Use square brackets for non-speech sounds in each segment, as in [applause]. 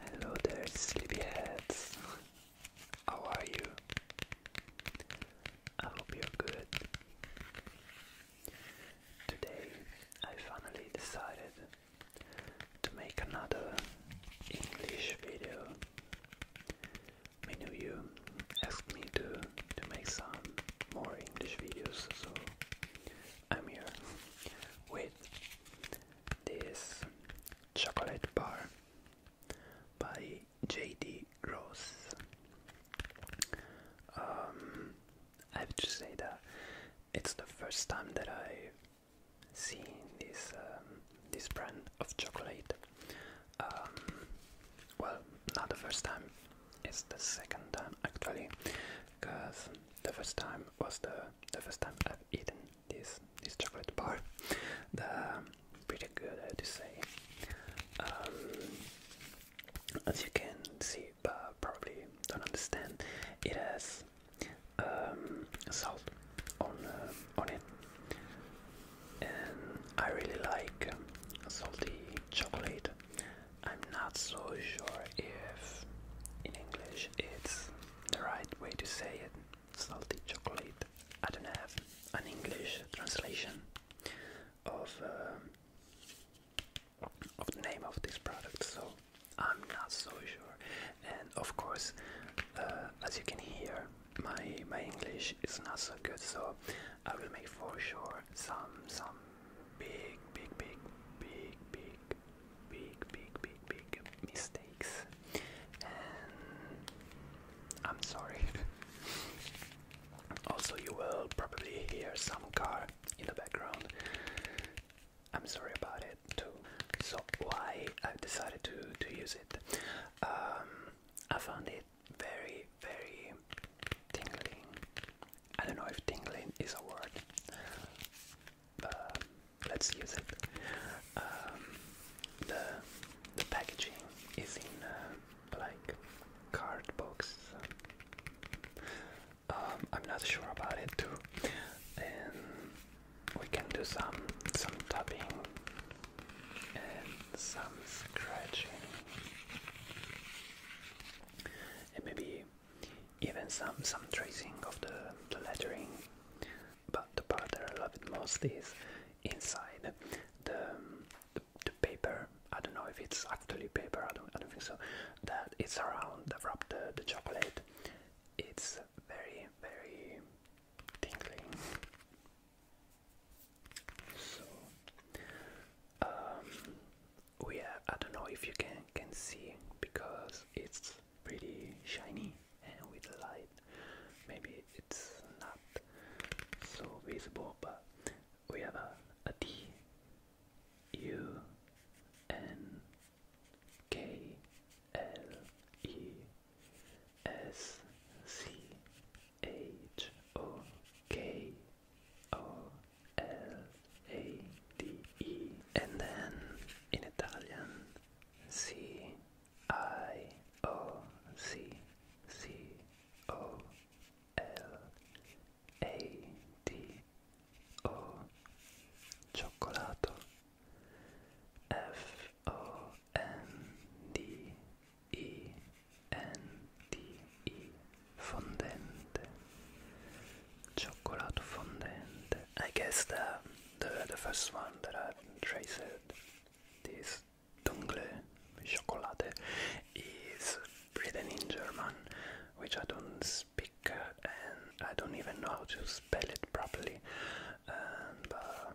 Hello there, sleepyheads. How are you? I hope you're good. Today I finally decided to make another English video. Many of you asked me to, to make some more English videos, so I'm here with this chocolate bar by JD Gross. Um, I have to say that it's the first time that I see this um, this brand of chocolate. Um, well, not the first time, it's the second time actually, because the first time was the the first time I've eaten this this chocolate bar. The pretty good, I have to say. Um, as you can see, but probably don't understand, it has um, salt on uh, on it, and I really like salty chocolate. I'm not so sure if in English it's the right way to say it. Salty chocolate. I don't have an English translation of uh, of the name of this product, so I'm not so sure. And of course, uh, as you can hear, my my English is not so good, so I will make for sure some some big big big big big big big big big mistakes I'm sorry. [laughs] also you will probably hear some car in the background. I'm sorry about it too. So why I decided to to use it. Um, I found it very, very tingling. I don't know if tingling is a word, but um, let's use it. Um, the the packaging is in uh, like card box. Um, I'm not sure about it too, and we can do some some tapping and some scratching and maybe even some some tracing of the, the lettering. But the part that I love it most is inside the, the paper. I don't know if it's actually paper. I don't. I don't think so. That it's around that the chocolate. It's very very tingling. So um, we I don't know if you can can see because it's pretty shiny and with light maybe it's not so visible but we have a, a D U N K L E S C H O K O L A D E, and then in Italian C I O C C O L A D O oh, Cioccolato F O N D E N D E fondente Cioccolato fondente I guess the the, the first one that I've traced this Dungle chocolate is written in German which I don't speak and I don't even know how to spell it properly um,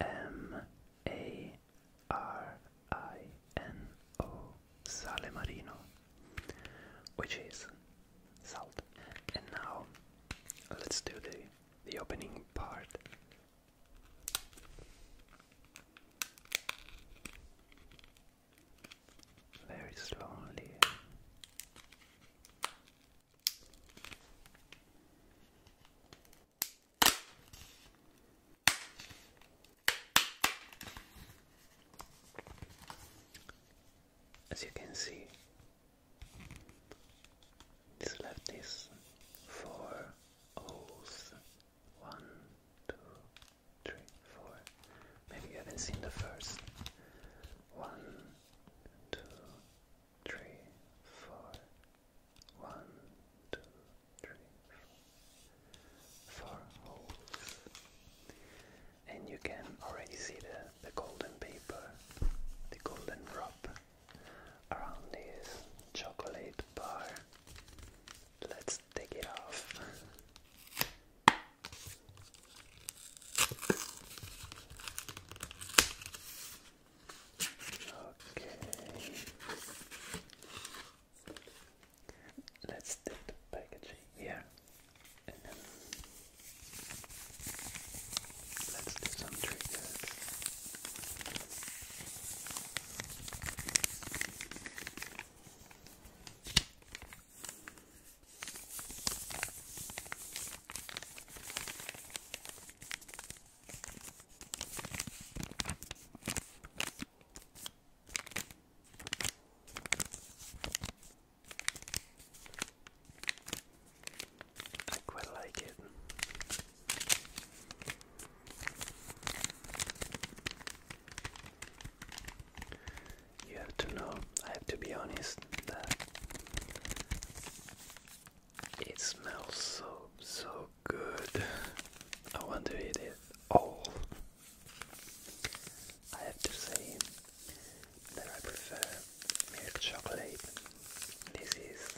M A R I N O Sale Marino, which is salt. And now let's do the the opening part. Very slowly. As you can see, this left is four O's. One, two, three, four. Maybe you haven't seen the first. One, two, three, four. Four holes. And you can already see the, the golden paper, the golden wrap around this chocolate bar. Let's take it off. Okay. Let's take the packaging here and then let's do some triggers. I quite like it you have to know, I have to be honest, that it smells so, so good. I want to eat it all. I have to say that I prefer milk chocolate. This is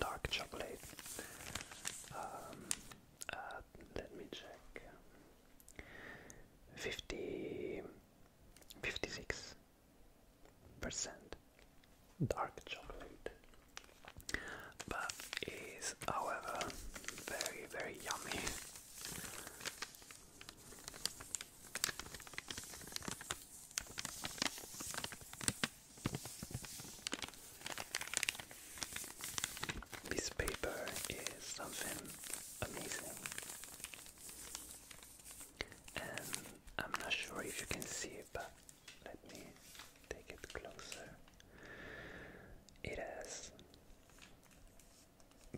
dark chocolate. Um, uh, let me check. 50 56 percent dark chocolate but is however very very yummy this paper is something amazing. And I'm not sure if you can see it, but let me take it closer. It has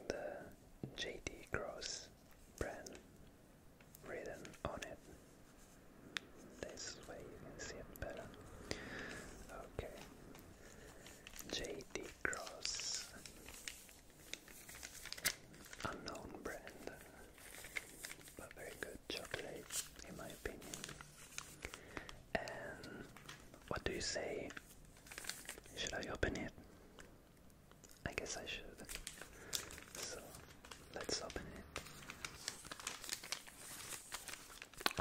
the JD Gross brand written on it. This way you can see it better. Okay. JD Cross, unknown brand, but very good chocolate in my opinion. And what do you say? Should I open it? I guess I should. So let's open it.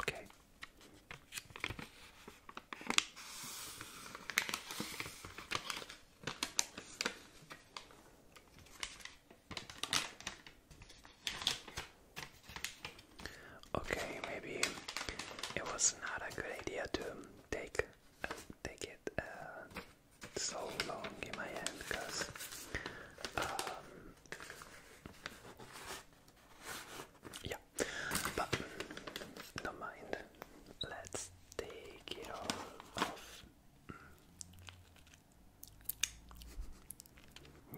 Okay. Okay, maybe it was not a good idea to take take it uh, so long in my hand because um, yeah, but don't mind. Let's take it off. Mm.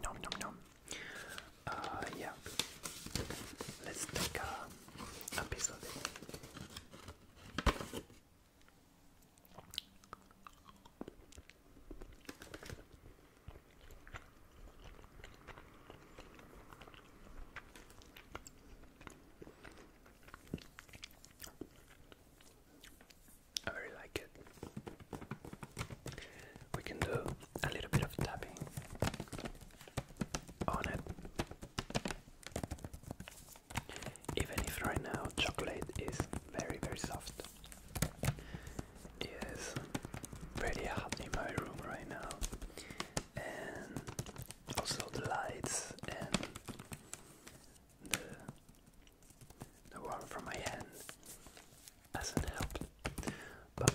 Nom nom nom. Uh, yeah. Let's take a piece of it. I really like it. We can do a little bit of tapping on it. Even if right now chocolate is very, very soft is pretty hot in my room right now, and also the lights and the the one from my hand hasn't helped, but.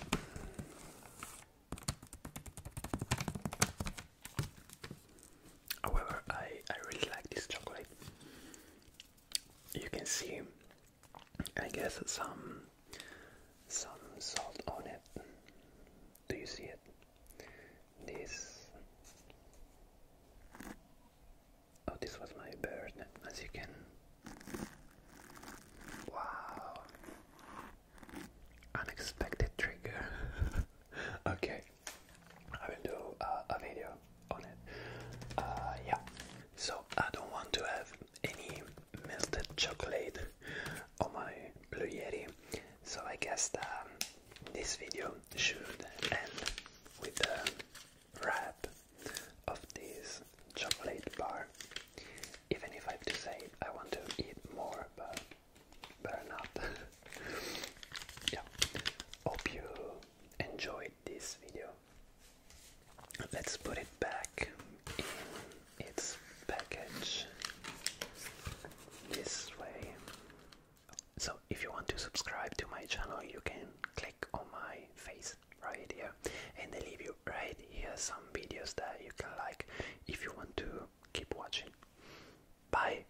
However, I, I really like this chocolate you can see I guess some some salt on it. Do you see it? This Oh this was my bird as you can Wow Unexpected trigger [laughs] Okay I will do a video uh, yeah. So I don't want to have any melted chocolate on my blueberry. So I guess um, this video should end with a wrap of this chocolate bar. Even if I have to say I want to eat more, but better not. [laughs] yeah. Hope you enjoyed this video. Let's put it back in its package this way. So, if you want to subscribe to my channel, you can click on my face right here, and they leave you right here some videos that you can like if you want to keep watching. Bye!